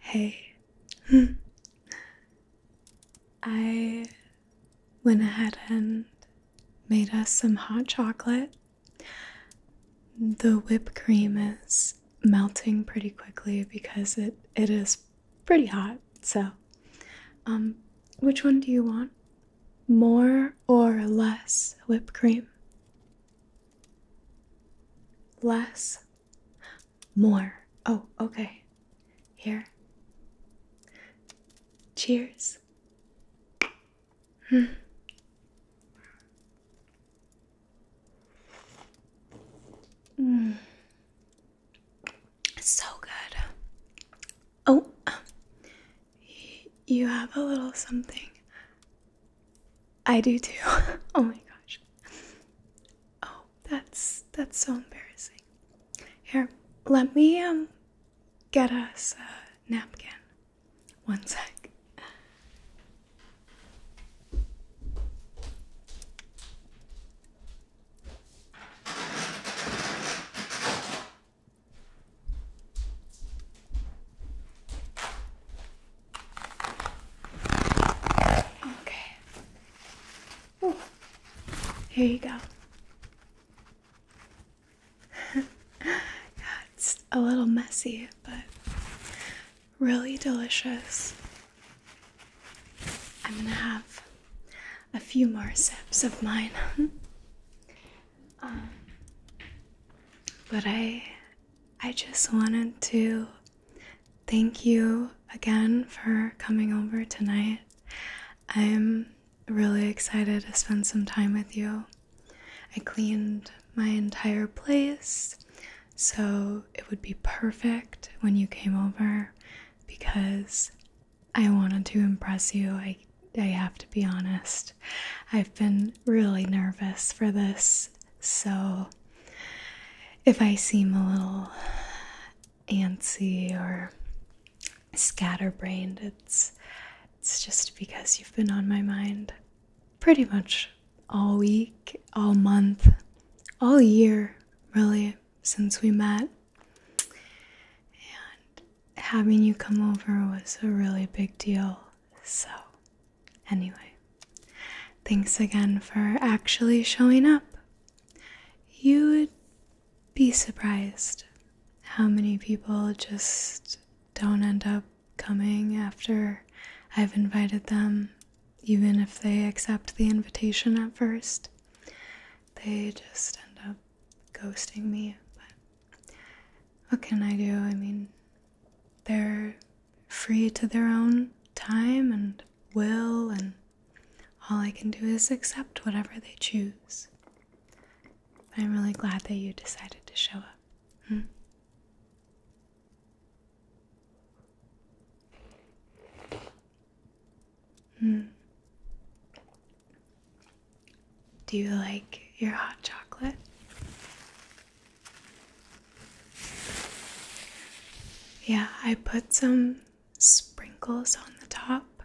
Hey, I went ahead and made us some hot chocolate. The whipped cream is melting pretty quickly because it it is pretty hot. So, um which one do you want? More or less whipped cream? Less. More. Oh, okay. Here. Cheers. Hmm. Mm. So good. Oh, you have a little something. I do too. oh my gosh. Oh, that's that's so embarrassing. Here, let me um get us a napkin. One sec. Okay. Here you go yeah, it's a little messy, but really delicious. I'm gonna have a few more sips of mine. um, but I I just wanted to thank you again for coming over tonight. I'm really excited to spend some time with you. I cleaned my entire place, so it would be perfect when you came over because I wanted to impress you. I I have to be honest. I've been really nervous for this, so if I seem a little antsy or scatterbrained. It's it's just because you've been on my mind pretty much all week, all month, all year, really, since we met. And having you come over was a really big deal. So, anyway, thanks again for actually showing up. You be surprised how many people just don't end up coming after I've invited them, even if they accept the invitation at first. They just end up ghosting me, but what can I do? I mean, they're free to their own time and will and all I can do is accept whatever they choose. I'm really glad that you decided to show up. Hmm. hmm. Do you like your hot chocolate? Yeah, I put some sprinkles on the top.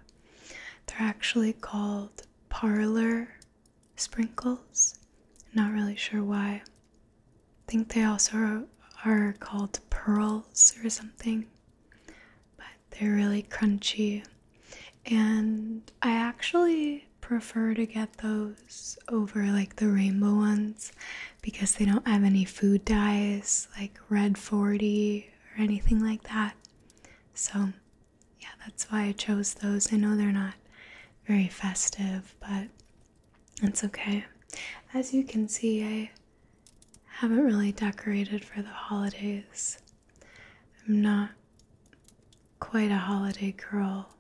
They're actually called parlor sprinkles. Not really sure why. I think they also are called pearls or something. But they're really crunchy. And I actually prefer to get those over like the rainbow ones because they don't have any food dyes like red 40 or anything like that. So, yeah, that's why I chose those. I know they're not very festive, but it's okay. As you can see, I haven't really decorated for the holidays. I'm not quite a holiday girl,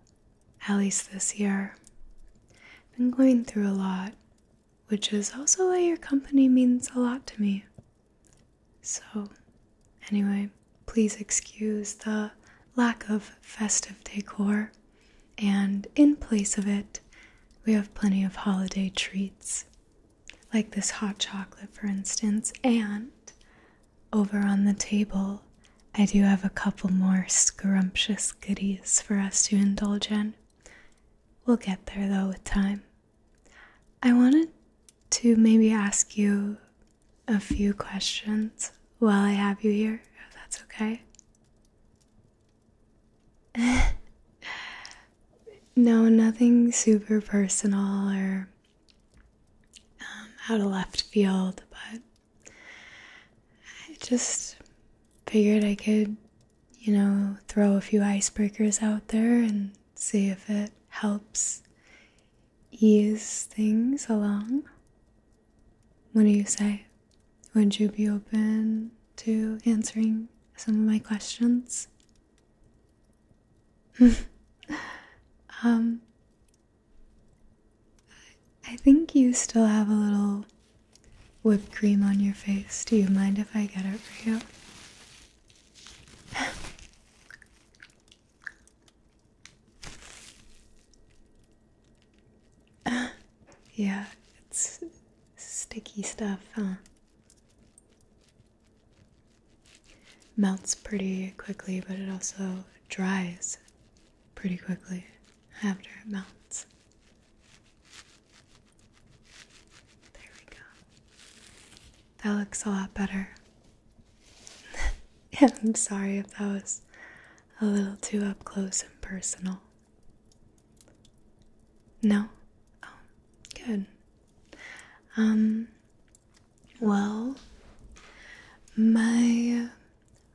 at least this year. I've been going through a lot, which is also why your company means a lot to me. So, anyway, please excuse the lack of festive decor, and in place of it, we have plenty of holiday treats, like this hot chocolate, for instance. And over on the table, I do have a couple more scrumptious goodies for us to indulge in. We'll get there though with time. I wanted to maybe ask you a few questions while I have you here, if that's okay. no, nothing super personal or um, out of left field, but I just figured I could, you know, throw a few icebreakers out there and see if it helps ease things along. What do you say? Would you be open to answering some of my questions? Um, I think you still have a little whipped cream on your face. Do you mind if I get it for you? yeah, it's sticky stuff, huh? Melts pretty quickly, but it also dries pretty quickly after it melts. There we go. That looks a lot better. I'm sorry if that was a little too up close and personal. No? Oh, good. Um, well, my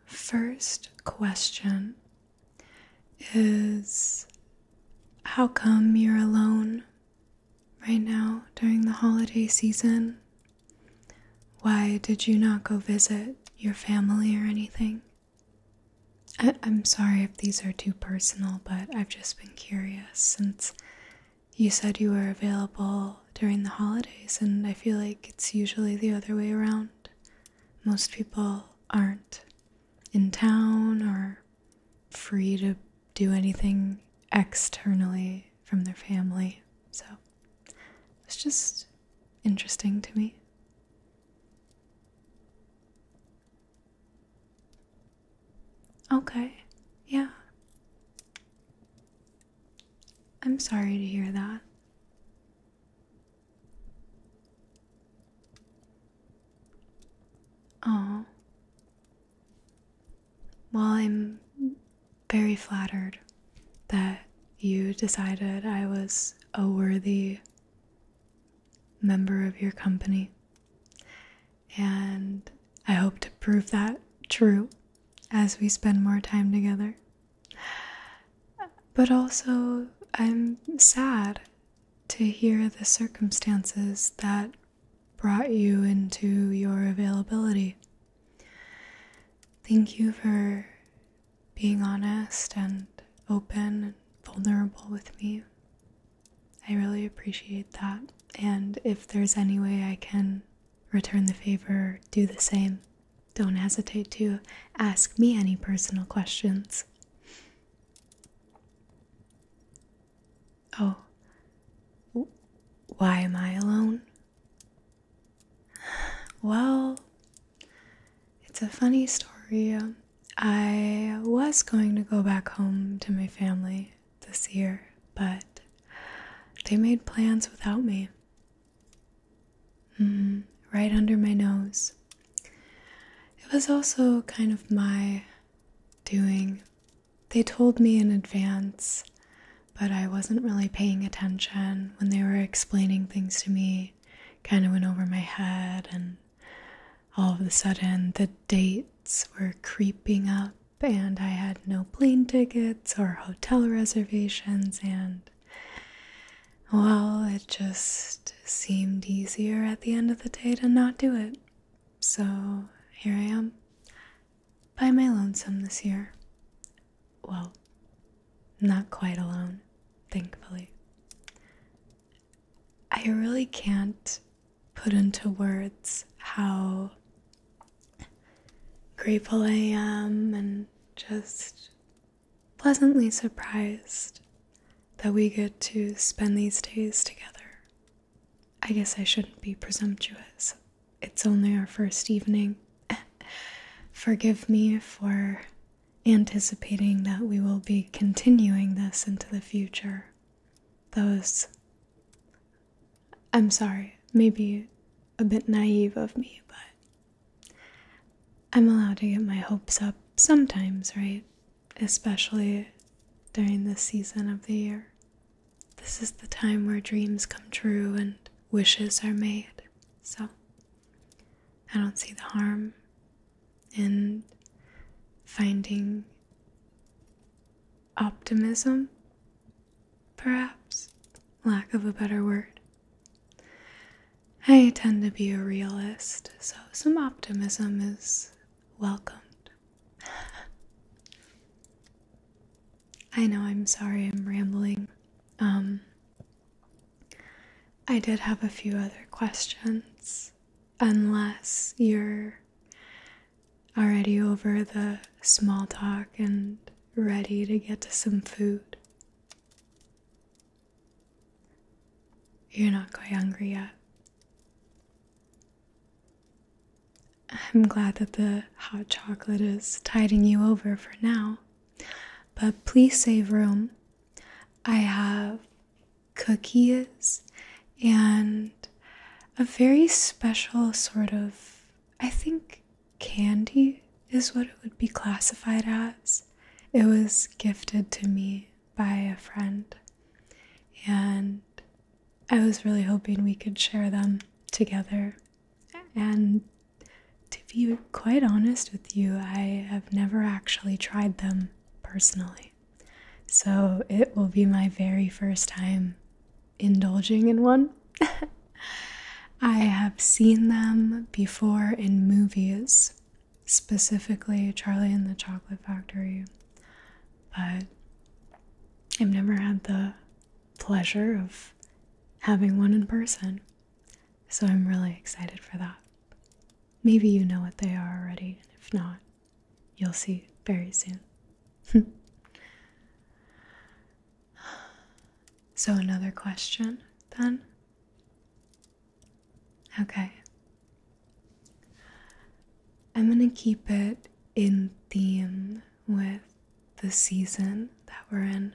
first question is how come you're alone right now during the holiday season? Why did you not go visit your family or anything? I- am sorry if these are too personal, but I've just been curious since you said you were available during the holidays, and I feel like it's usually the other way around. Most people aren't in town or free to do anything externally from their family. So it's just interesting to me. Okay, yeah. I'm sorry to hear that. Oh, while I'm very flattered that you decided I was a worthy member of your company. And I hope to prove that true as we spend more time together. But also, I'm sad to hear the circumstances that brought you into your availability. Thank you for being honest and open and vulnerable with me. I really appreciate that. And if there's any way I can return the favor, do the same. Don't hesitate to ask me any personal questions. Oh, why am I alone? Well, it's a funny story. Um, I was going to go back home to my family this year, but they made plans without me. Mm, right under my nose. It was also kind of my doing they told me in advance, but I wasn't really paying attention when they were explaining things to me. Kind of went over my head, and all of a sudden, the dates were creeping up, and I had no plane tickets or hotel reservations, and well, it just seemed easier at the end of the day to not do it. So here I am by my lonesome this year. Well, not quite alone, thankfully. I really can't put into words how grateful I am and just pleasantly surprised that we get to spend these days together. I guess I shouldn't be presumptuous. It's only our first evening. Forgive me for anticipating that we will be continuing this into the future. Those. I'm sorry, maybe a bit naive of me, but I'm allowed to get my hopes up sometimes, right? Especially during this season of the year. This is the time where dreams come true and wishes are made. So I don't see the harm in finding optimism, perhaps, lack of a better word. I tend to be a realist, so some optimism is welcomed. I know I'm sorry I'm rambling. Um I did have a few other questions unless you're already over the small talk and ready to get to some food. You're not quite hungry yet. I'm glad that the hot chocolate is tiding you over for now, but please save room. I have cookies and a very special sort of, I think, candy is what it would be classified as. It was gifted to me by a friend, and I was really hoping we could share them together. And to be quite honest with you, I have never actually tried them personally. So it will be my very first time indulging in one. I have seen them before in movies, specifically Charlie and the Chocolate Factory, but I've never had the pleasure of having one in person. So I'm really excited for that. Maybe you know what they are already, and if not, you'll see very soon. so, another question then? Okay. I'm going to keep it in theme with the season that we're in.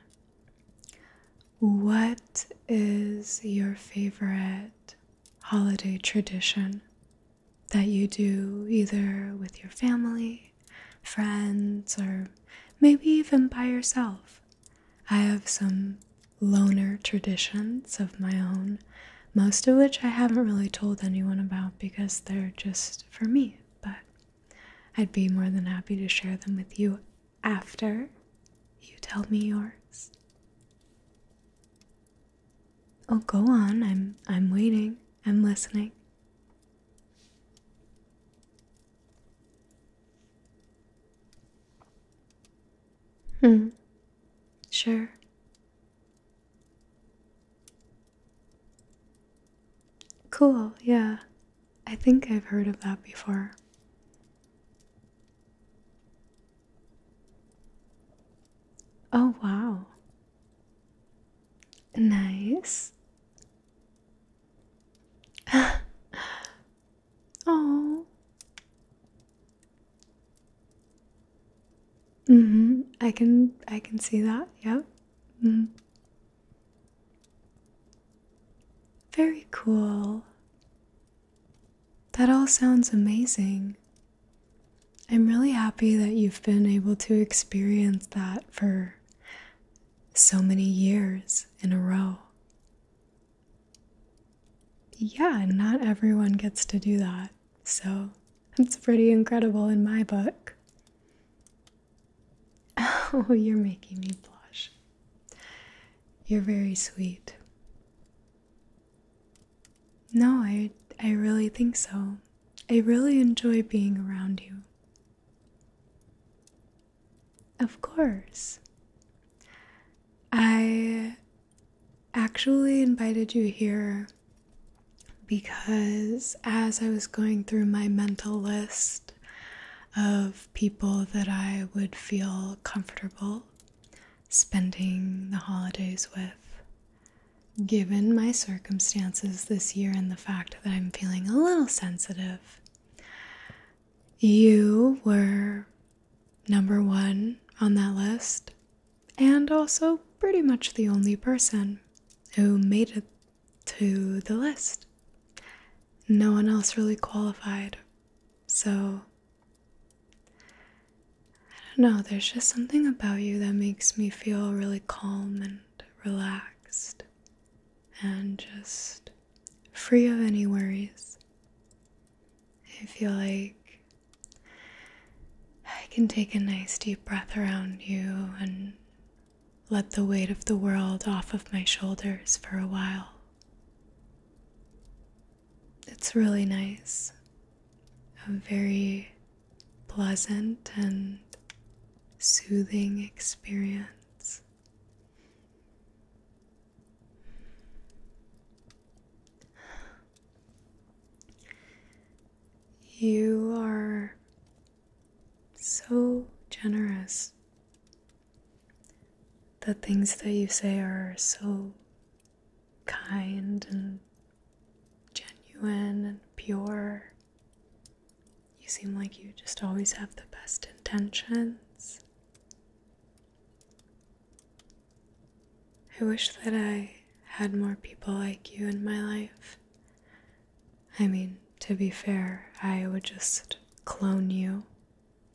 What is your favorite holiday tradition that you do either with your family, friends, or maybe even by yourself? I have some loner traditions of my own, most of which I haven't really told anyone about because they're just for me but I'd be more than happy to share them with you after you tell me yours. Oh, go on. I'm I'm waiting. I'm listening. Hmm. Sure. Cool, yeah. I think I've heard of that before. Oh, wow. Nice. oh. Mm-hmm. I can I can see that. Yep. Mm. Very cool. That all sounds amazing. I'm really happy that you've been able to experience that for so many years in a row. Yeah, not everyone gets to do that. So that's pretty incredible in my book. Oh, you're making me blush. You're very sweet. No, I I really think so. I really enjoy being around you. Of course. I actually invited you here because as I was going through my mental list of people that I would feel comfortable spending the holidays with, given my circumstances this year and the fact that I'm feeling a little sensitive, you were number one on that list, and also pretty much the only person who made it to the list. No one else really qualified. So, I don't know, there's just something about you that makes me feel really calm and relaxed and just free of any worries. I feel like I can take a nice deep breath around you and let the weight of the world off of my shoulders for a while. It's really nice, a very pleasant and soothing experience. You are so generous. The things that you say are so kind and genuine and pure. You seem like you just always have the best intentions. I wish that I had more people like you in my life. I mean, to be fair, I would just clone you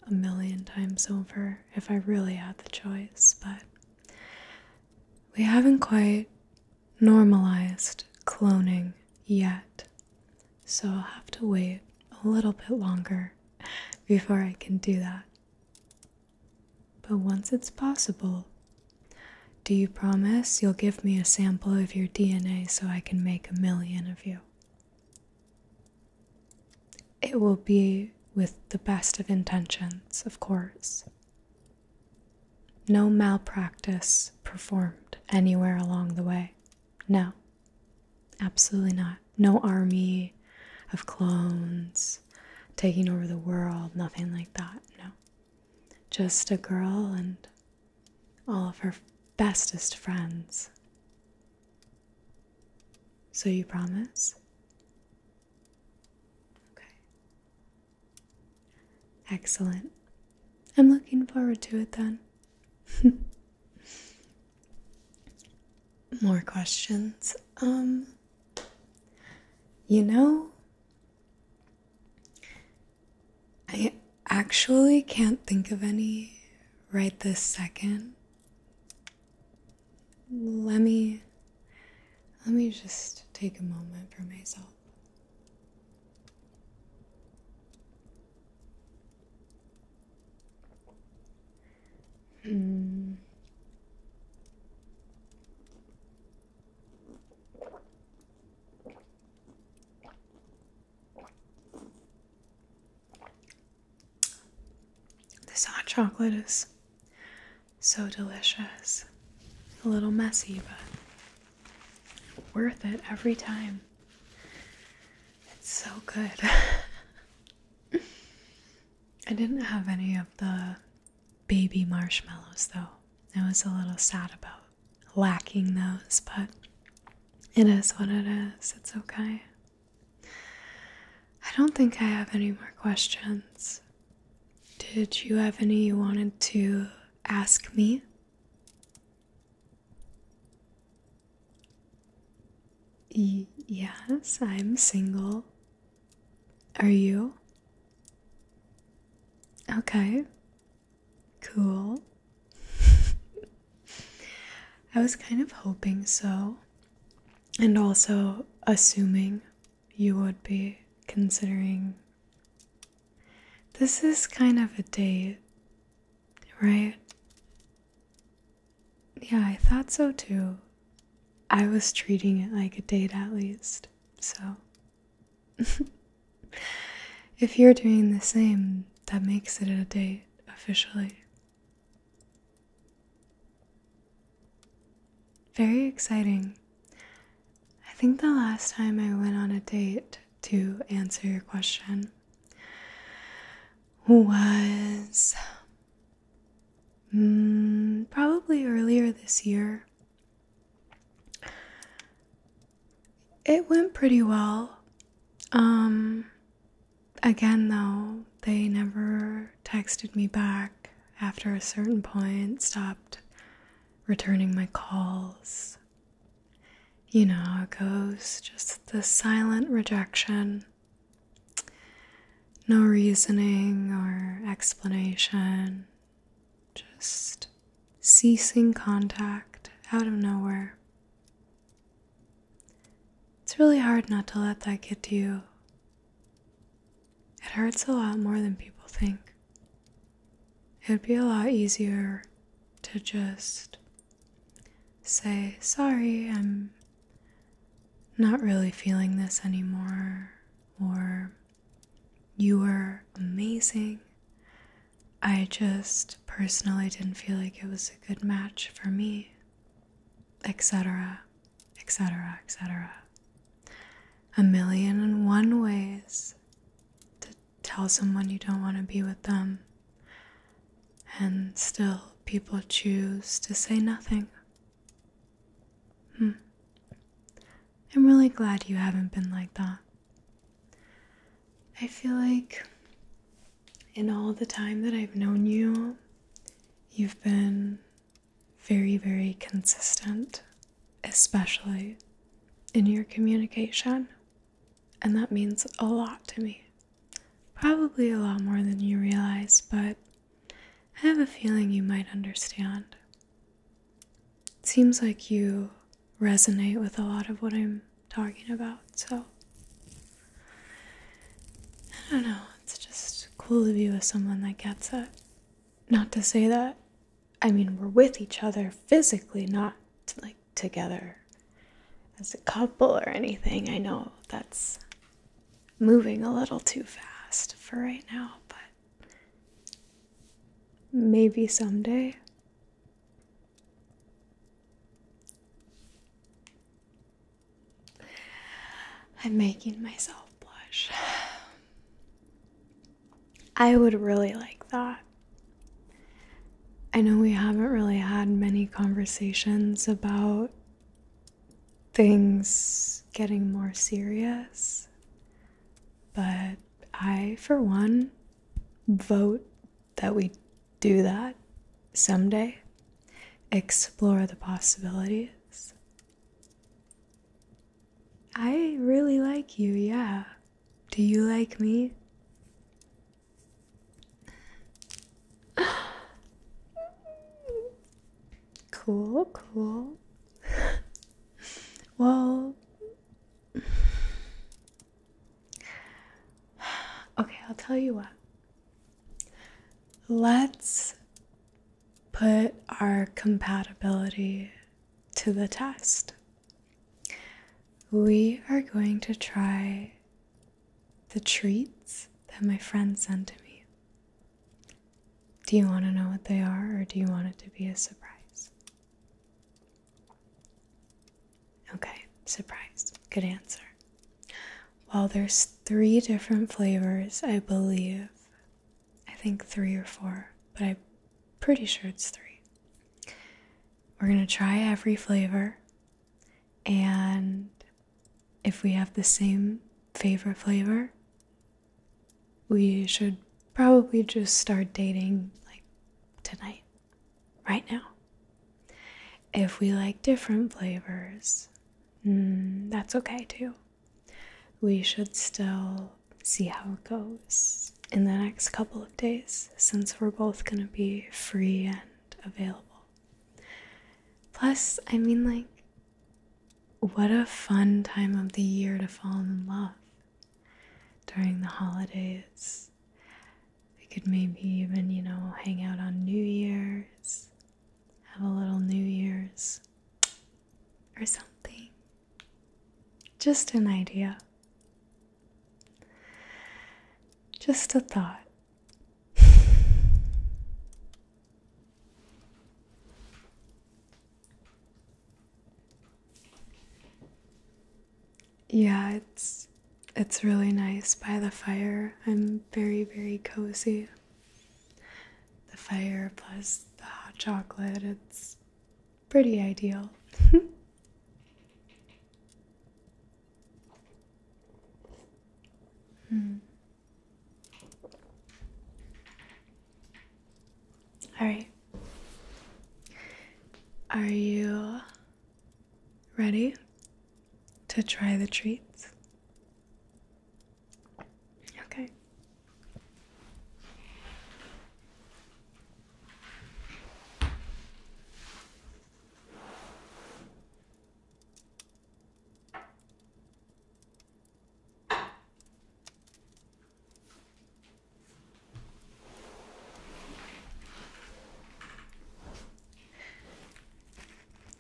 a million times over if I really had the choice, but we haven't quite normalized cloning yet. So I'll have to wait a little bit longer before I can do that. But once it's possible, do you promise you'll give me a sample of your DNA so I can make a million of you? It will be with the best of intentions, of course. No malpractice performed anywhere along the way. No, absolutely not. No army of clones taking over the world, nothing like that. No, just a girl and all of her bestest friends. So you promise? Okay. Excellent. I'm looking forward to it then. More questions. Um, you know, I actually can't think of any right this second. Let me let me just take a moment for myself. Mm. This hot chocolate is so delicious. A little messy, but worth it every time. It's so good. I didn't have any of the baby marshmallows though. I was a little sad about lacking those, but it is what it is. It's okay. I don't think I have any more questions. Did you have any you wanted to ask me? yes, I'm single. Are you? Okay. Cool. I was kind of hoping so, and also assuming you would be considering. This is kind of a date, right? Yeah, I thought so too. I was treating it like a date at least, so if you're doing the same, that makes it a date officially. Very exciting. I think the last time I went on a date to answer your question was mm, probably earlier this year it went pretty well. Um, again, though, they never texted me back after a certain point, stopped returning my calls. You know how it goes, just the silent rejection. No reasoning or explanation, just ceasing contact out of nowhere. It's really hard not to let that get to you. It hurts a lot more than people think. It would be a lot easier to just say, Sorry, I'm not really feeling this anymore, or You are amazing. I just personally didn't feel like it was a good match for me, etc., etc., etc. A million and one ways to tell someone you don't want to be with them, and still people choose to say nothing. Hmm. I'm really glad you haven't been like that. I feel like in all the time that I've known you, you've been very, very consistent, especially in your communication. And that means a lot to me. Probably a lot more than you realize, but I have a feeling you might understand. It seems like you resonate with a lot of what I'm talking about, so I don't know. It's just cool to be with someone that gets it. Not to say that, I mean, we're with each other physically, not like together as a couple or anything. I know that's moving a little too fast for right now, but maybe someday I'm making myself blush. I would really like that. I know we haven't really had many conversations about things getting more serious, but I, for one, vote that we do that someday, explore the possibilities. I really like you, yeah. Do you like me? cool, cool. well, Okay, I'll tell you what. Let's put our compatibility to the test. We are going to try the treats that my friend sent to me. Do you want to know what they are, or do you want it to be a surprise? Okay, surprise. Good answer. Well, there's three different flavors, I believe. I think three or four, but I'm pretty sure it's three. We're going to try every flavor, and if we have the same favorite flavor, we should probably just start dating like tonight right now. If we like different flavors, mm, that's okay too. We should still see how it goes in the next couple of days since we're both gonna be free and available. Plus, I mean, like, what a fun time of the year to fall in love during the holidays. We could maybe even, you know, hang out on New Year's, have a little New Year's or something. Just an idea. Just a thought yeah, it's it's really nice by the fire. I'm very very cozy. The fire plus the hot chocolate. It's pretty ideal. hmm. All right. Are you Ready to try the treats? Okay.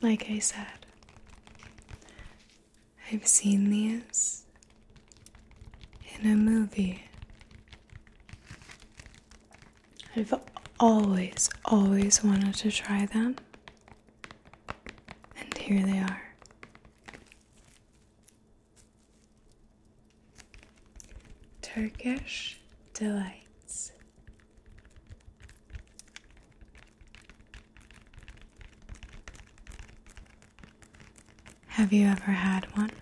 Like I said, I've seen these in a movie. I've always, always wanted to try them, and here they are. Turkish Delights. Have you ever had one?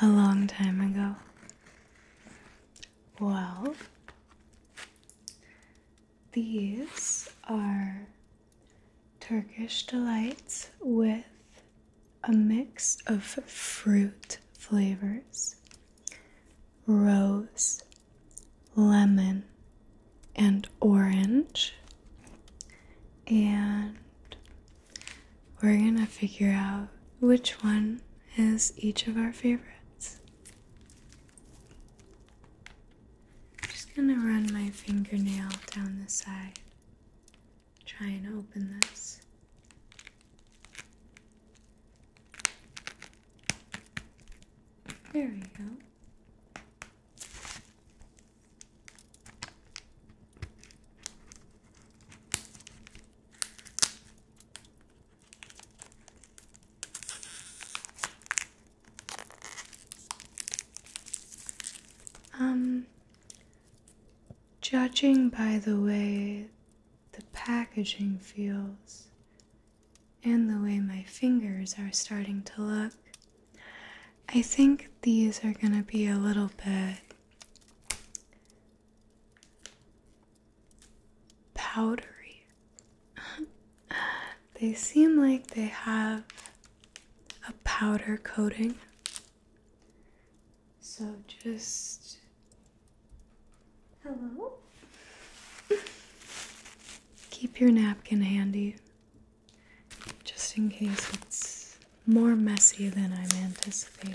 A long time ago. Well, these are Turkish delights with a mix of fruit flavors, rose, lemon, and orange. And we're gonna figure out which one is each of our favorites. just gonna run my fingernail down the side try and open this. There we go. Um, Judging by the way the packaging feels and the way my fingers are starting to look, I think these are going to be a little bit powdery. they seem like they have a powder coating so just hello. Keep your napkin handy just in case it's more messy than I'm anticipating.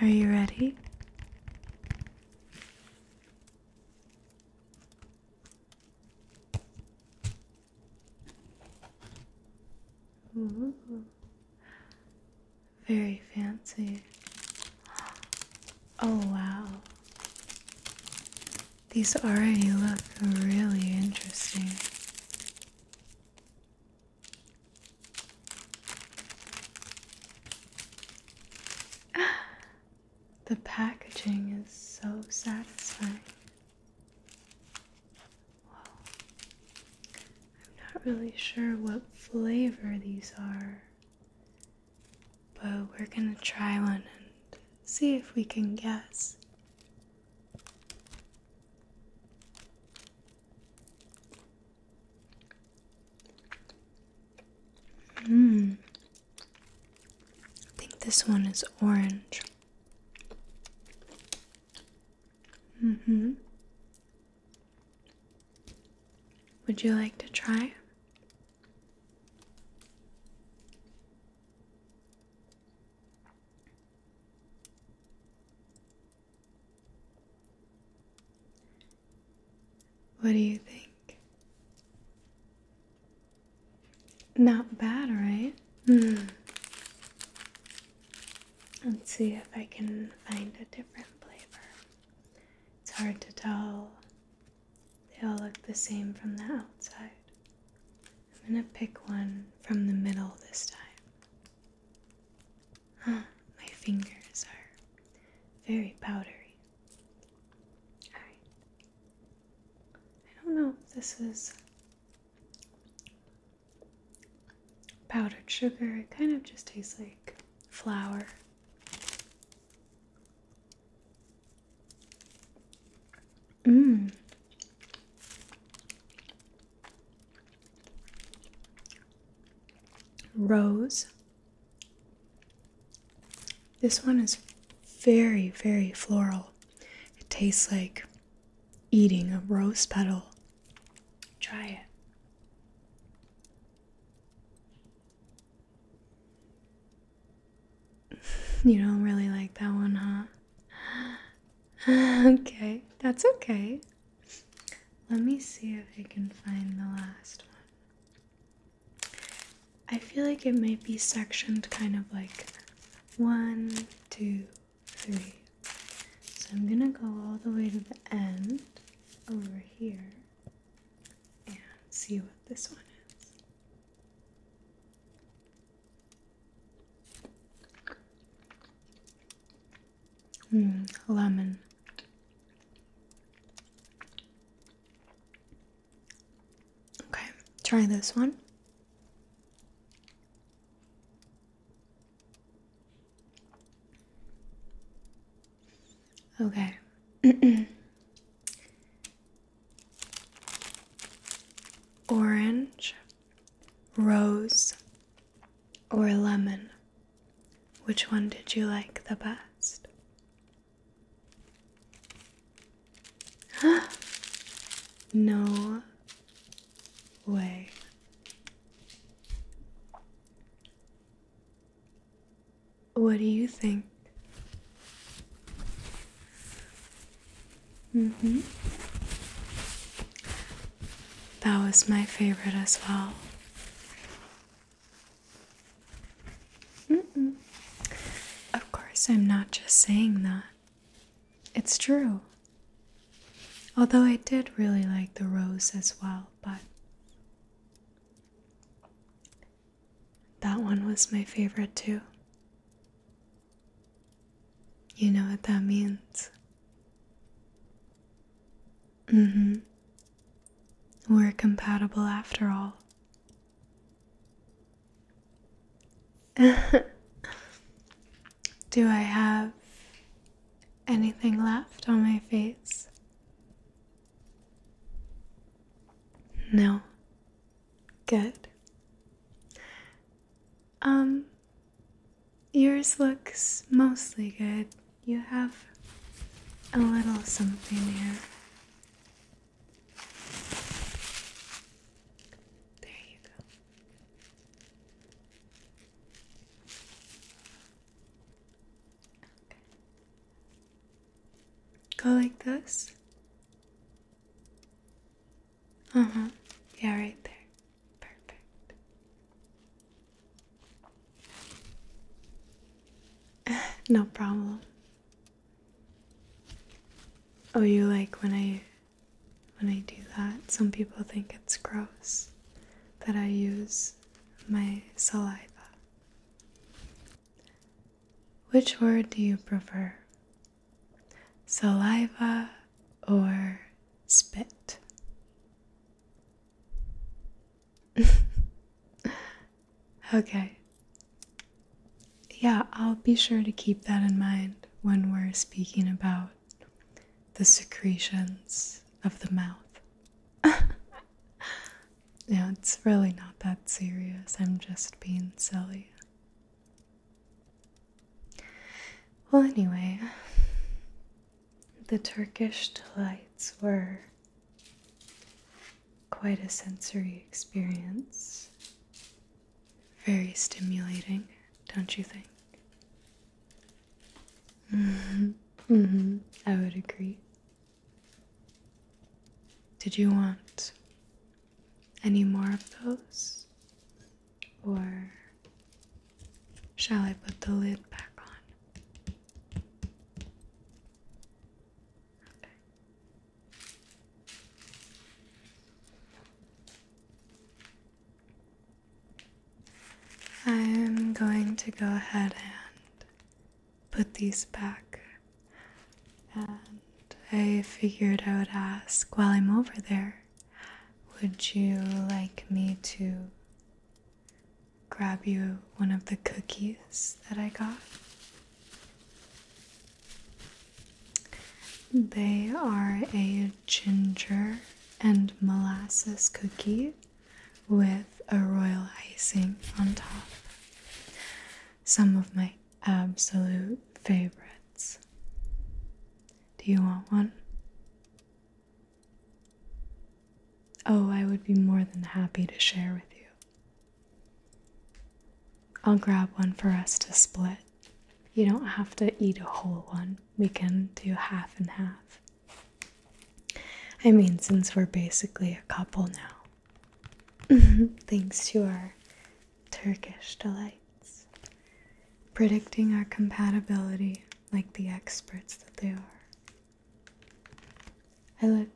Are you ready? Mm-hmm. Very fancy. Oh, wow. These already look really interesting. the packaging is so satisfying. I'm not really sure what flavor these are, but we're gonna try one and see if we can guess. Hmm. I think this one is orange. Mm hmm. Would you like to try? What do you think? Not bad, right? Hmm. Let's see if I can find a different flavor. It's hard to tell. They all look the same from the outside. I'm gonna pick one from the middle this time. Oh, my fingers are very powdery. I don't know if this is powdered sugar. It kind of just tastes like flour. Mmm. Rose this one is very, very floral. It tastes like eating a rose petal. Try it. You don't really like that one, huh? okay, that's okay. Let me see if I can find the last one. I feel like it might be sectioned kind of like one, two, three. So I'm gonna go all the way to the end over here and see what this one is. Mm, lemon. Okay, try this one. Okay. Orange, rose, or lemon. Which one did you like the best? no way. What do you think? Mm hmm. That was my favorite as well. Of course, I'm not just saying that. It's true. Although I did really like the rose as well, but that one was my favorite too. You know what that means. Mm hmm. We're compatible after all. Do I have anything left on my face? No. Good. Um, yours looks mostly good you have a little something here. There you go. Okay. Go like this. Uh huh. Yeah, right there. Perfect. no problem. Oh, you like when I when I do that? Some people think it's gross that I use my saliva. Which word do you prefer? Saliva or spit? okay. Yeah, I'll be sure to keep that in mind when we're speaking about the secretions of the mouth. yeah, it's really not that serious. I'm just being silly. Well, anyway, the Turkish delights were quite a sensory experience. Very stimulating, don't you think? Mm-hmm. Mm-hmm. I would agree. Did you want any more of those? Or shall I put the lid back on? I'm going to go ahead and put these back. And I figured I would ask while I'm over there, would you like me to grab you one of the cookies that I got. They are a ginger and molasses cookie with a royal icing on top. Some of my absolute favorites. Do you want one? Oh, I would be more than happy to share with you. I'll grab one for us to split. You don't have to eat a whole one, we can do half and half. I mean, since we're basically a couple now, thanks to our Turkish delights, predicting our compatibility like the experts that they are. I look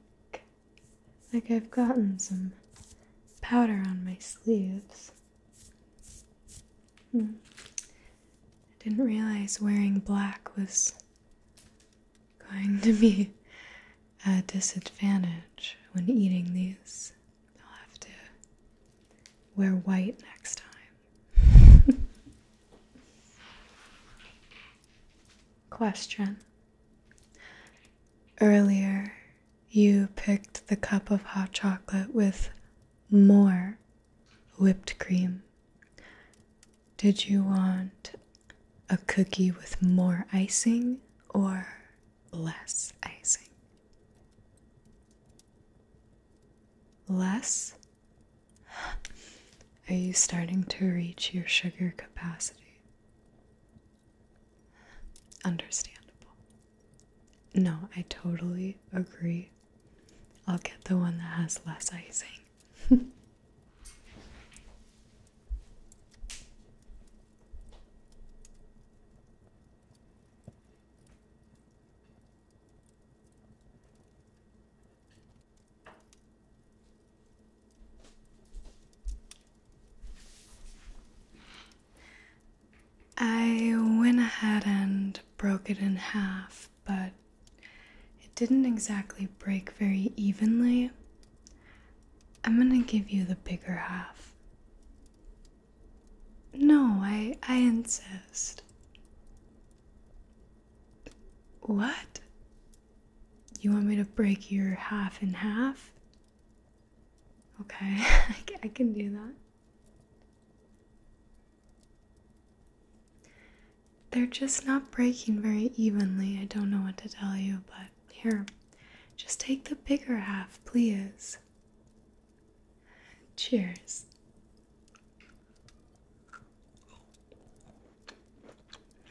like I've gotten some powder on my sleeves. Hmm. I didn't realize wearing black was going to be a disadvantage when eating these. I'll have to wear white next time. Question Earlier, you picked the cup of hot chocolate with more whipped cream. Did you want a cookie with more icing or less icing? Less are you starting to reach your sugar capacity? Understandable. No, I totally agree. I'll get the one that has less icing. I went ahead and broke it in half, but it didn't exactly break very evenly. I'm gonna give you the bigger half. No, I I insist. What? You want me to break your half in half? Okay, I can do that. They're just not breaking very evenly. I don't know what to tell you, but here, just take the bigger half, please. Cheers.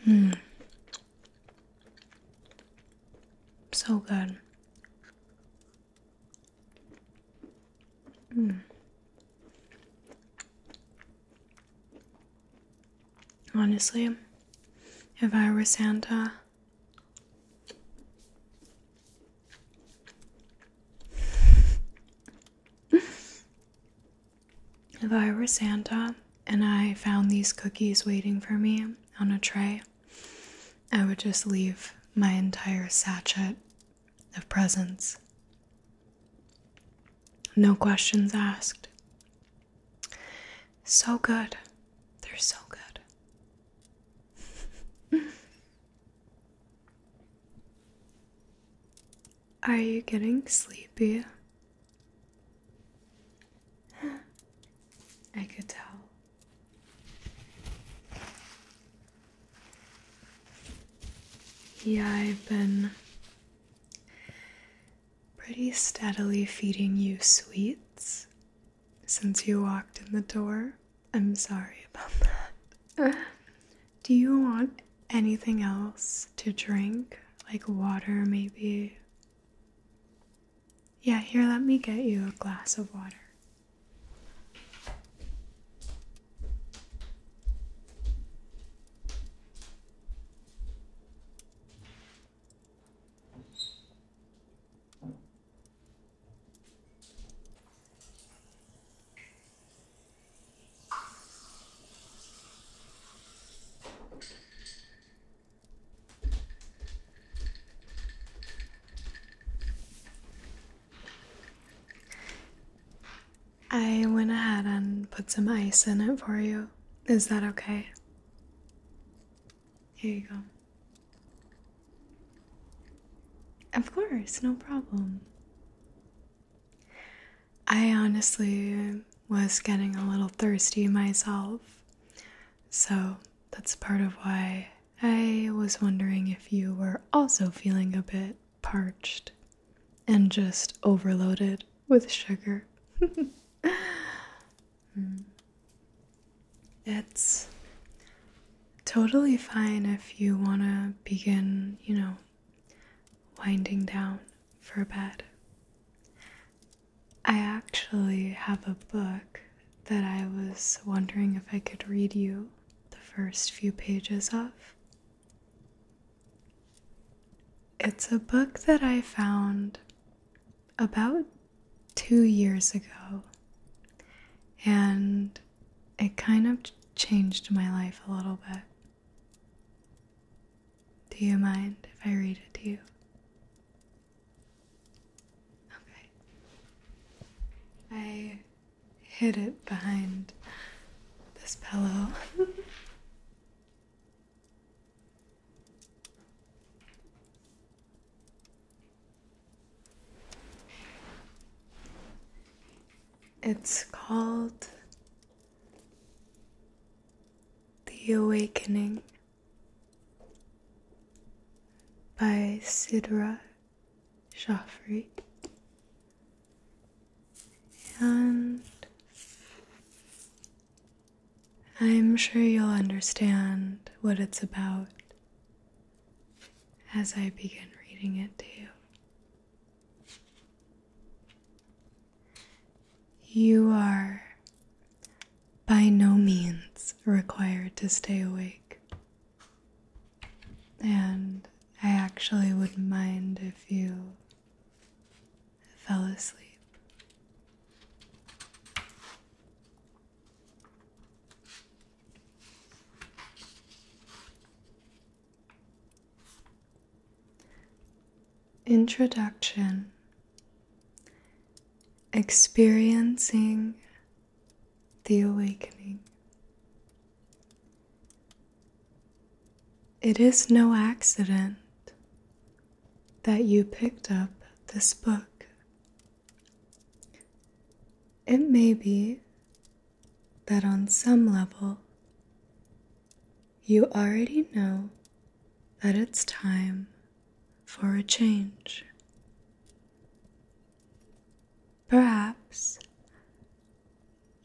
Hmm. So good. Hmm. Honestly, if I were Santa, if I were Santa and I found these cookies waiting for me on a tray, I would just leave my entire sachet of presents. No questions asked. So good. They're so good. Are you getting sleepy? I could tell. Yeah, I've been pretty steadily feeding you sweets since you walked in the door. I'm sorry about that. Do you want anything else to drink? like water, maybe. Yeah, here, let me get you a glass of water. I went ahead and put some ice in it for you. Is that okay? Here you go. Of course, no problem. I honestly was getting a little thirsty myself. So that's part of why I was wondering if you were also feeling a bit parched and just overloaded with sugar. Hmm. it's totally fine if you want to begin, you know, winding down for bed. I actually have a book that I was wondering if I could read you the first few pages of. It's a book that I found about two years ago, and it kind of changed my life a little bit. Do you mind if I read it to you? Okay. I hid it behind this pillow. it's called the Awakening by Sidra Joffrey and I'm sure you'll understand what it's about as I begin reading it to you. You are by no means required to stay awake. And I actually wouldn't mind if you fell asleep. Introduction Experiencing the Awakening. It is no accident that you picked up this book. It may be that on some level you already know that it's time for a change. Perhaps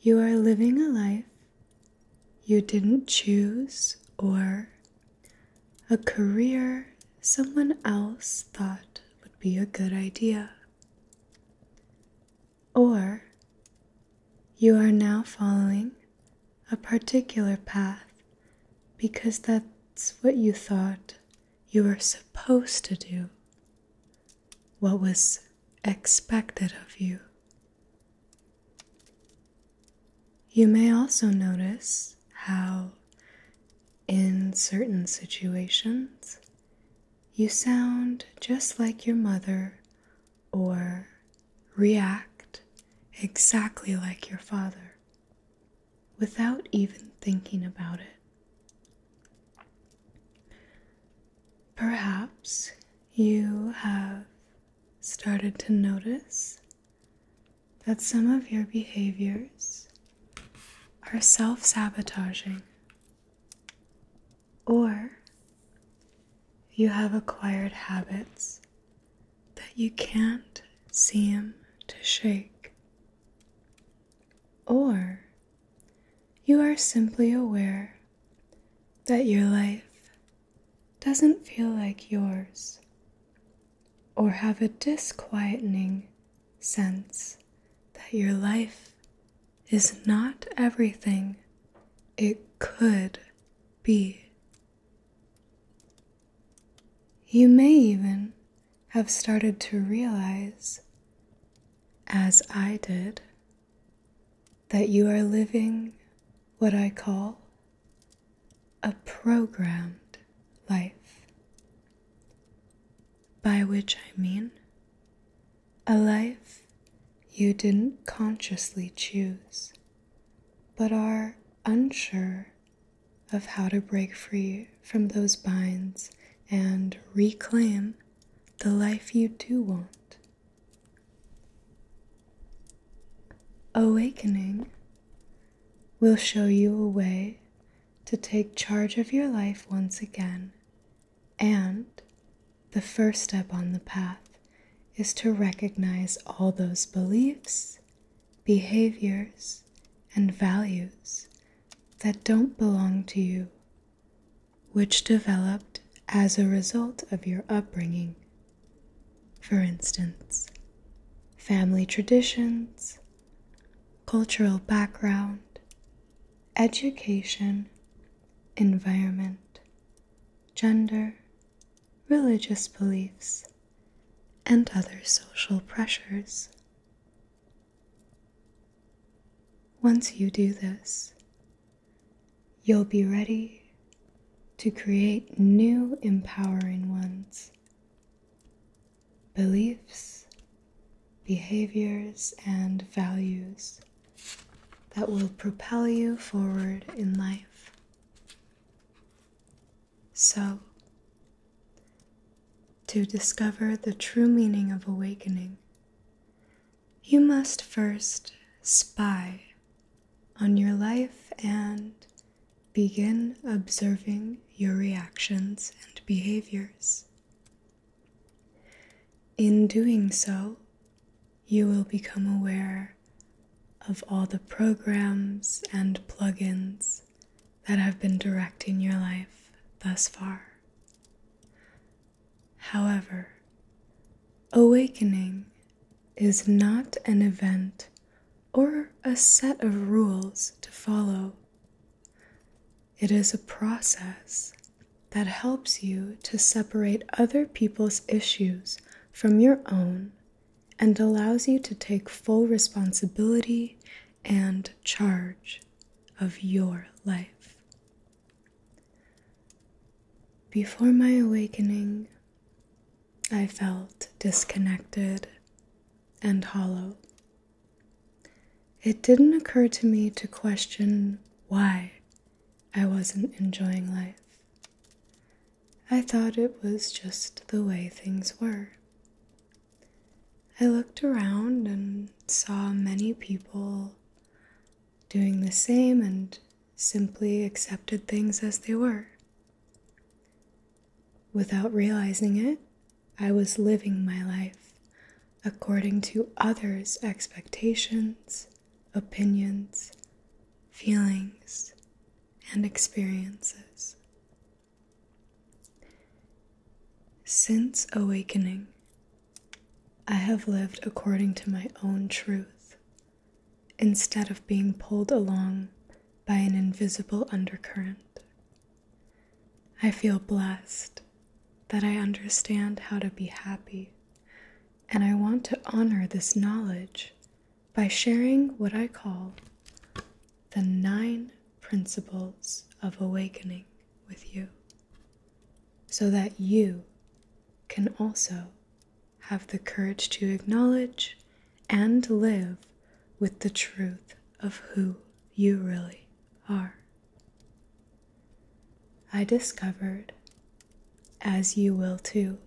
you are living a life you didn't choose or a career someone else thought would be a good idea. Or you are now following a particular path because that's what you thought you were supposed to do, what was expected of you. You may also notice how, in certain situations, you sound just like your mother or react exactly like your father without even thinking about it. Perhaps you have started to notice that some of your behaviors are self sabotaging, or you have acquired habits that you can't seem to shake. Or you are simply aware that your life doesn't feel like yours or have a disquietening sense that your life is not everything it could be. You may even have started to realize, as I did, that you are living what I call a programmed life, by which I mean a life you didn't consciously choose but are unsure of how to break free from those binds and reclaim the life you do want. Awakening will show you a way to take charge of your life once again, and the first step on the path is to recognize all those beliefs behaviors, and values that don't belong to you, which developed as a result of your upbringing. For instance, family traditions, cultural background, education, environment, gender, religious beliefs, and other social pressures. Once you do this, you'll be ready to create new empowering ones. Beliefs, behaviors, and values that will propel you forward in life. So, to discover the true meaning of awakening, you must first spy on your life and begin observing your reactions and behaviors. In doing so, you will become aware of all the programs and plugins that have been directing your life thus far. However, awakening is not an event or a set of rules to follow. It is a process that helps you to separate other people's issues from your own and allows you to take full responsibility and charge of your life. Before my awakening, I felt disconnected and hollow. It didn't occur to me to question why I wasn't enjoying life. I thought it was just the way things were. I looked around and saw many people doing the same and simply accepted things as they were. Without realizing it, I was living my life according to others' expectations, opinions, feelings, and experiences. Since awakening, I have lived according to my own truth instead of being pulled along by an invisible undercurrent. I feel blessed that I understand how to be happy, and I want to honor this knowledge by sharing what I call the nine principles of awakening with you so that you can also have the courage to acknowledge and live with the truth of who you really are. I discovered, as you will too,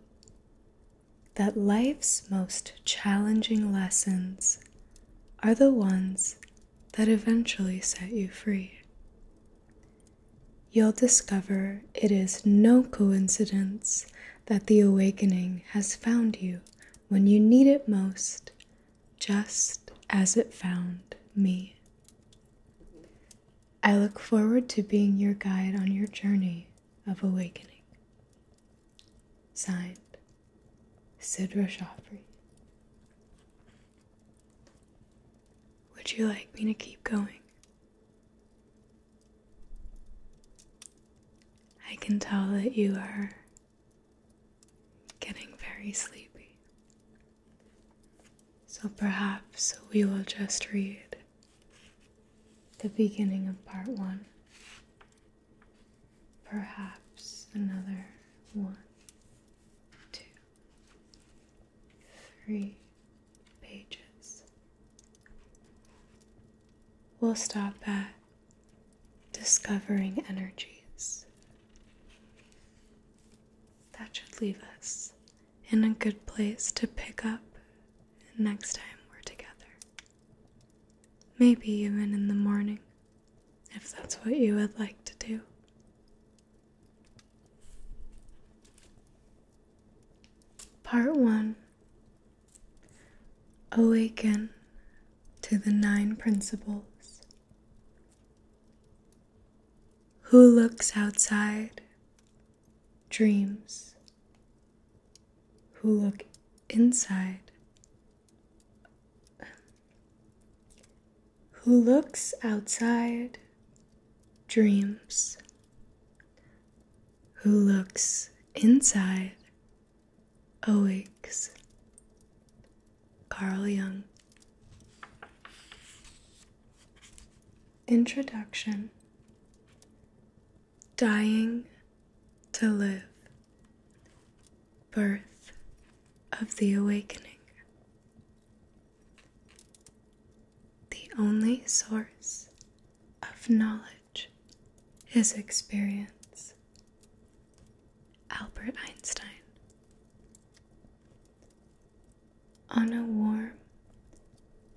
that life's most challenging lessons are the ones that eventually set you free. You'll discover it is no coincidence that the awakening has found you when you need it most, just as it found me. I look forward to being your guide on your journey of awakening. Signed, Sidra Joffrey. Would you like me to keep going? I can tell that you are getting very sleepy. So perhaps we will just read the beginning of part one. Perhaps another one, two, three pages. We'll stop at discovering energies. That should leave us in a good place to pick up next time we're together. Maybe even in the morning, if that's what you would like to do. Part 1 Awaken to the Nine Principles. Who looks outside dreams who look inside, who looks outside, dreams, who looks inside, awakes. Carl Jung. Introduction Dying to Live Birth of the Awakening. The only source of knowledge is experience. Albert Einstein. On a warm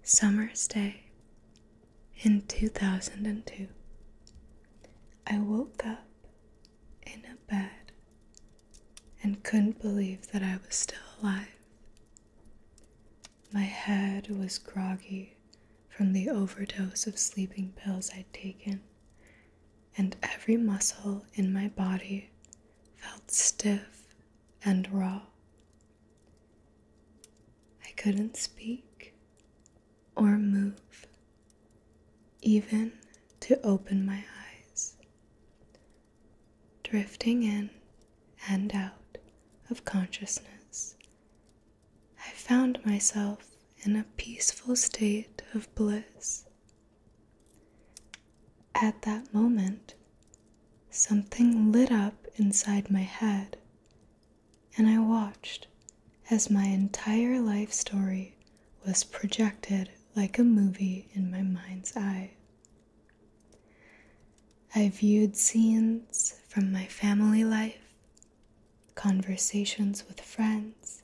summer's day in 2002, I woke up in a bed and couldn't believe that I was still alive. My head was groggy from the overdose of sleeping pills I'd taken, and every muscle in my body felt stiff and raw. I couldn't speak or move, even to open my eyes, drifting in and out of consciousness. I found myself in a peaceful state of bliss. At that moment, something lit up inside my head and I watched as my entire life story was projected like a movie in my mind's eye. I viewed scenes from my family life, conversations with friends,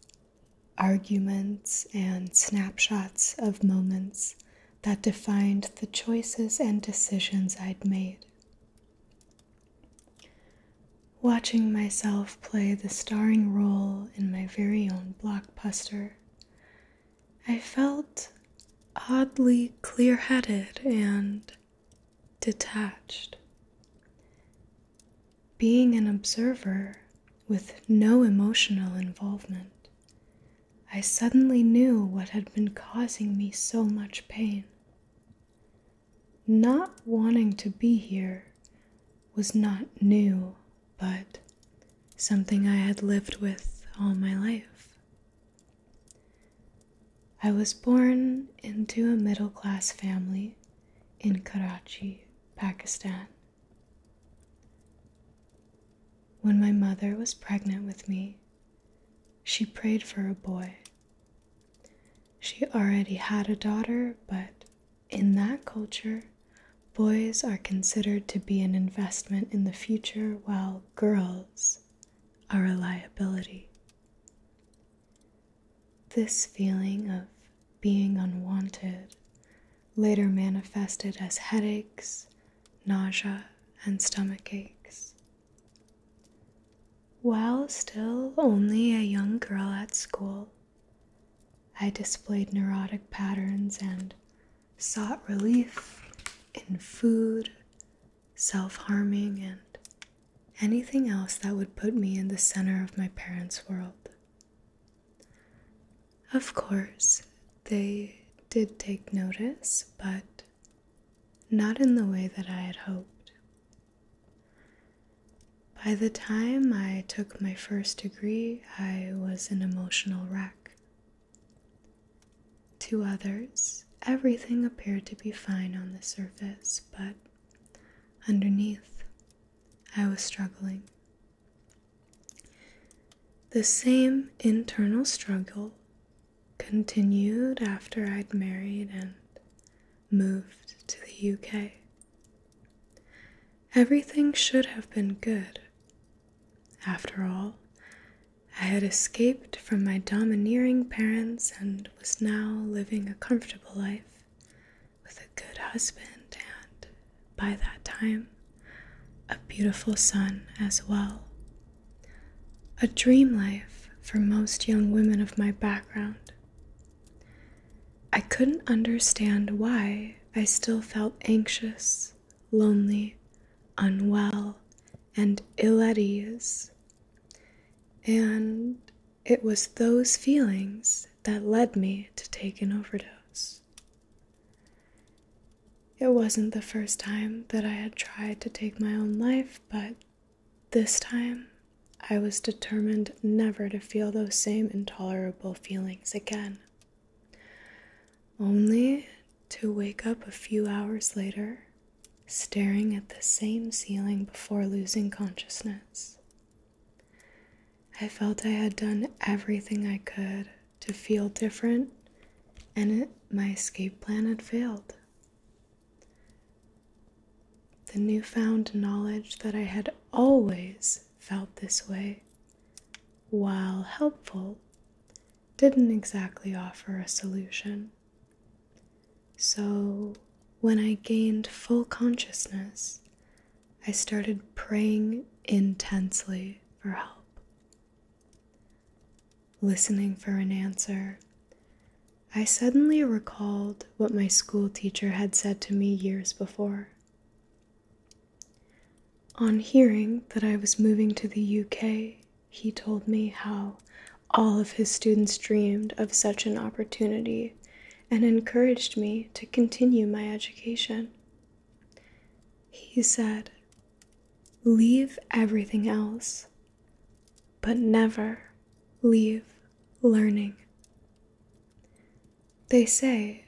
arguments, and snapshots of moments that defined the choices and decisions I'd made. Watching myself play the starring role in my very own blockbuster, I felt oddly clear headed and detached. Being an observer with no emotional involvement, I suddenly knew what had been causing me so much pain. Not wanting to be here was not new, but something I had lived with all my life. I was born into a middle class family in Karachi, Pakistan. When my mother was pregnant with me, she prayed for a boy she already had a daughter, but in that culture, boys are considered to be an investment in the future, while girls are a liability. This feeling of being unwanted later manifested as headaches, nausea, and stomach aches. While still only a young girl at school, I displayed neurotic patterns and sought relief in food, self harming, and anything else that would put me in the center of my parents' world. Of course, they did take notice, but not in the way that I had hoped. By the time I took my first degree, I was an emotional wreck. To others, everything appeared to be fine on the surface, but underneath, I was struggling. The same internal struggle continued after I'd married and moved to the UK. Everything should have been good. After all, I had escaped from my domineering parents and was now living a comfortable life with a good husband and, by that time, a beautiful son as well. A dream life for most young women of my background. I couldn't understand why I still felt anxious, lonely, unwell, and ill at ease. And it was those feelings that led me to take an overdose. It wasn't the first time that I had tried to take my own life, but this time, I was determined never to feel those same intolerable feelings again. Only to wake up a few hours later, staring at the same ceiling before losing consciousness. I felt I had done everything I could to feel different, and my escape plan had failed. The newfound knowledge that I had always felt this way, while helpful, didn't exactly offer a solution. So, when I gained full consciousness, I started praying intensely for help. Listening for an answer I suddenly recalled what my school teacher had said to me years before. On hearing that I was moving to the UK, he told me how all of his students dreamed of such an opportunity and encouraged me to continue my education. He said, Leave everything else, but never leave learning. They say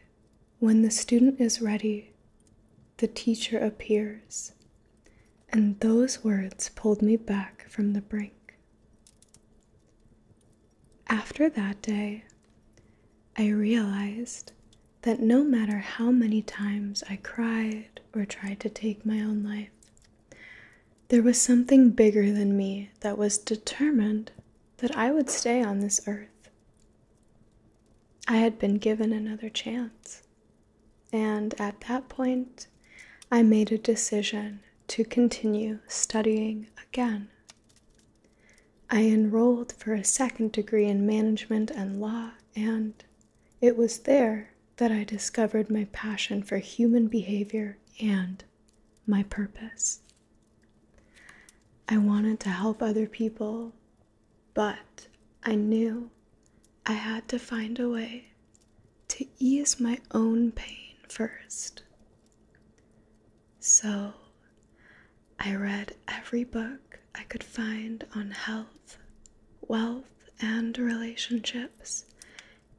when the student is ready, the teacher appears, and those words pulled me back from the brink. After that day, I realized that no matter how many times I cried or tried to take my own life, there was something bigger than me that was determined that I would stay on this earth. I had been given another chance, and at that point, I made a decision to continue studying again. I enrolled for a second degree in management and law, and it was there that I discovered my passion for human behavior and my purpose. I wanted to help other people, but I knew I had to find a way to ease my own pain first. So I read every book I could find on health, wealth, and relationships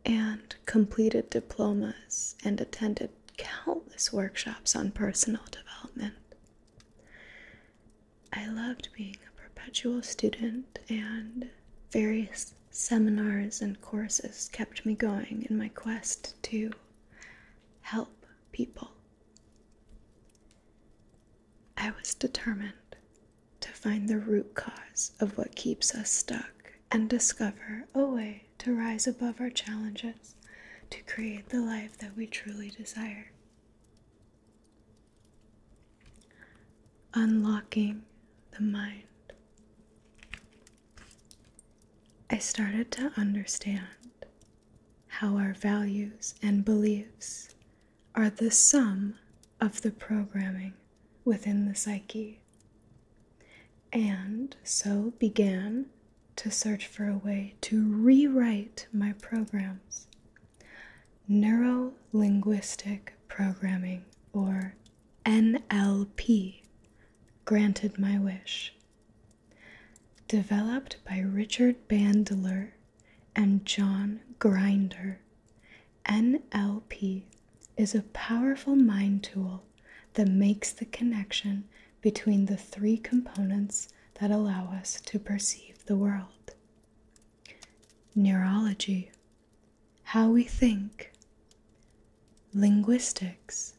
and completed diplomas and attended countless workshops on personal development. I loved being a perpetual student, and various seminars and courses kept me going in my quest to help people. I was determined to find the root cause of what keeps us stuck and discover a way to rise above our challenges to create the life that we truly desire. Unlocking the mind. I started to understand how our values and beliefs are the sum of the programming within the psyche and so began to search for a way to rewrite my programs. Neuro linguistic programming, or NLP, granted my wish. Developed by Richard Bandler and John Grinder, NLP is a powerful mind tool that makes the connection between the three components that allow us to perceive the world neurology, how we think, linguistics,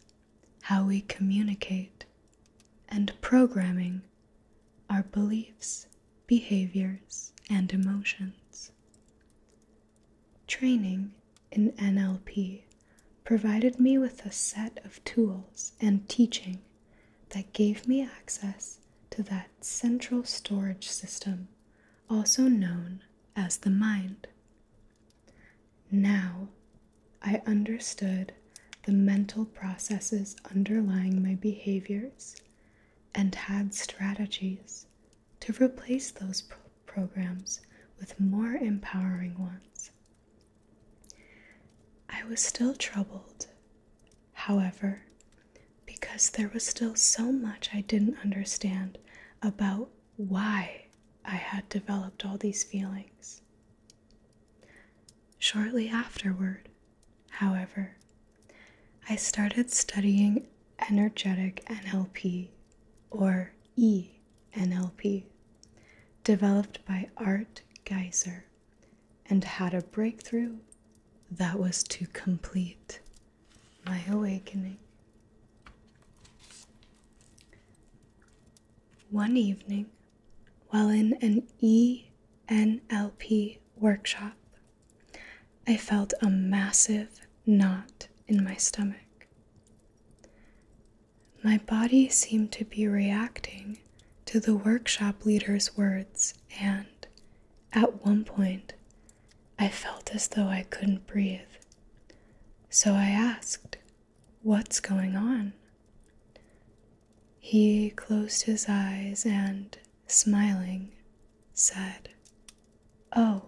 how we communicate, and programming, our beliefs, behaviors, and emotions. Training in NLP provided me with a set of tools and teaching that gave me access to that central storage system, also known as the mind. Now I understood the mental processes underlying my behaviors and had strategies to replace those programs with more empowering ones. I was still troubled, however, because there was still so much I didn't understand about why I had developed all these feelings. Shortly afterward, however, I started studying energetic NLP or E NLP, developed by Art Geiser, and had a breakthrough that was to complete my awakening. One evening, while in an E NLP workshop, I felt a massive knot in my stomach. My body seemed to be reacting to the workshop leader's words, and at one point, I felt as though I couldn't breathe. So I asked, What's going on? He closed his eyes and, smiling, said, Oh,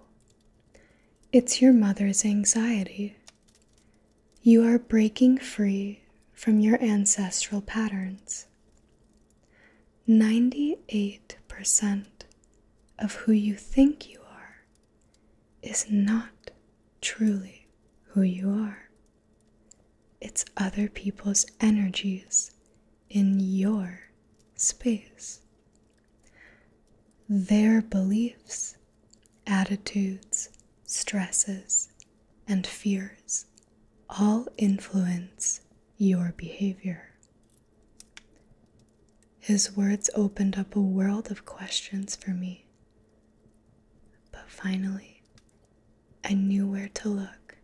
it's your mother's anxiety. You are breaking free from your ancestral patterns. 98% of who you think you are is not truly who you are. It's other people's energies in your space. Their beliefs, attitudes, stresses, and fears all influence your behavior. His words opened up a world of questions for me. But finally, I knew where to look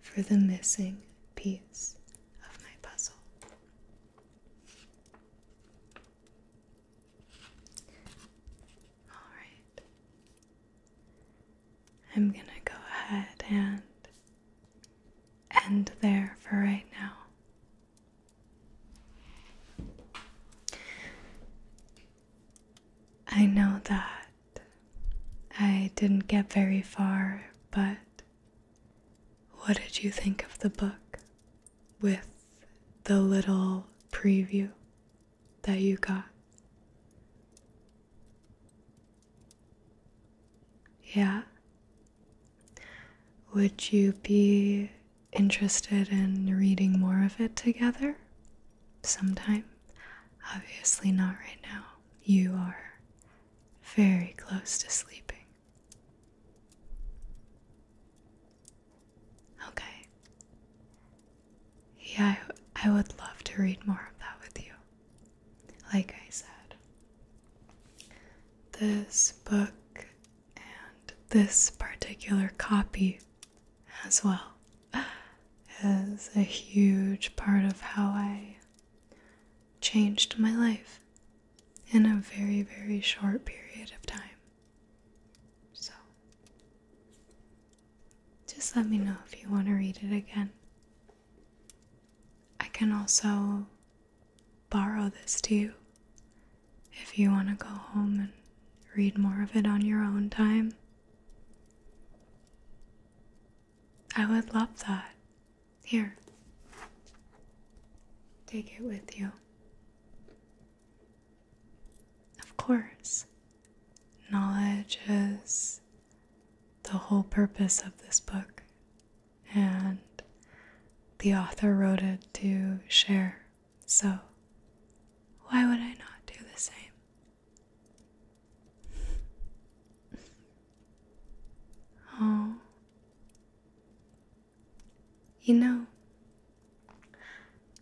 for the missing piece of my puzzle. Alright. I'm gonna go ahead and end there for right now. I know that I didn't get very far, but what did you think of the book? with the little preview that you got. Yeah. Would you be interested in reading more of it together? Sometime? Obviously, not right now. You are very close to sleeping. Okay. Yeah, I, I would love to read more of that with you. Like I said, this book and this particular copy as well is a huge part of how I changed my life in a very, very short period of time. So, just let me know if you want to read it again. I can also borrow this to you if you want to go home and read more of it on your own time. I would love that. Here, take it with you. Of course, knowledge is the whole purpose of this book, and the author wrote it to share, so why would I not do the same? Oh, you know,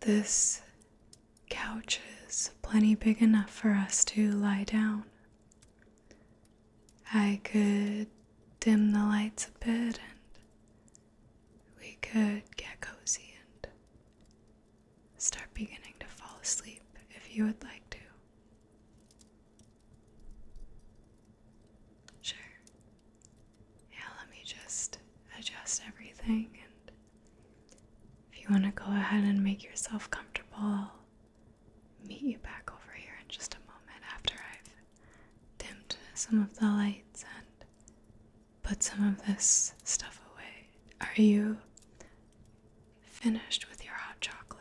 this couch is plenty big enough for us to lie down. I could dim the lights a bit and we could get cozy and start beginning to fall asleep if you would like to. Sure. Yeah, let me just adjust everything. And if you want to go ahead and make yourself comfortable, meet you back over here in just a moment after I've dimmed some of the lights and put some of this stuff away. Are you finished with your hot chocolate?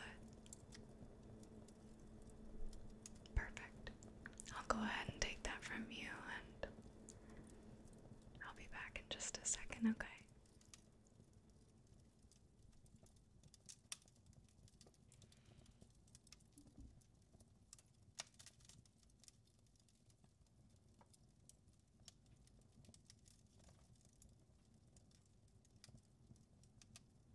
Perfect. I'll go ahead and take that from you and I'll be back in just a second, okay?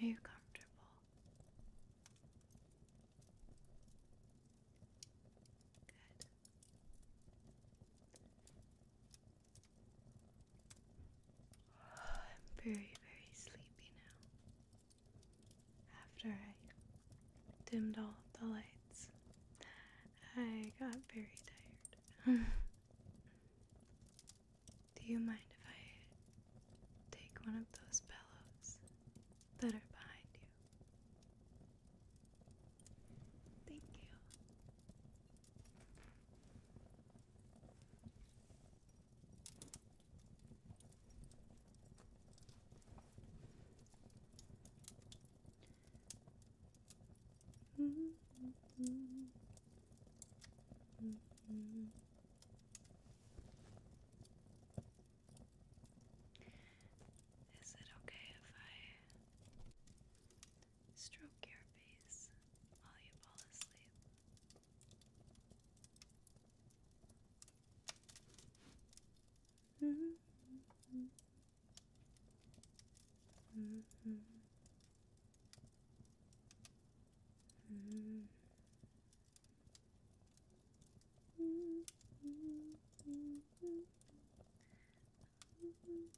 Hey, are you comfortable? Good. I'm very, very sleepy now. After I dimmed all the lights, I got very tired. Do you mind if I take one of those pillows that are behind you? Thank you. Mm -hmm. Is it okay if I stroke your face while you fall asleep.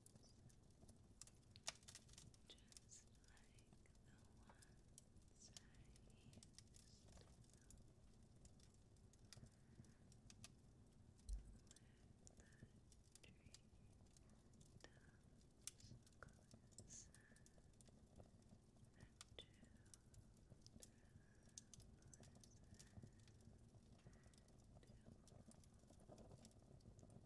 just like the ones I used to know the tree tops glisten and children listen to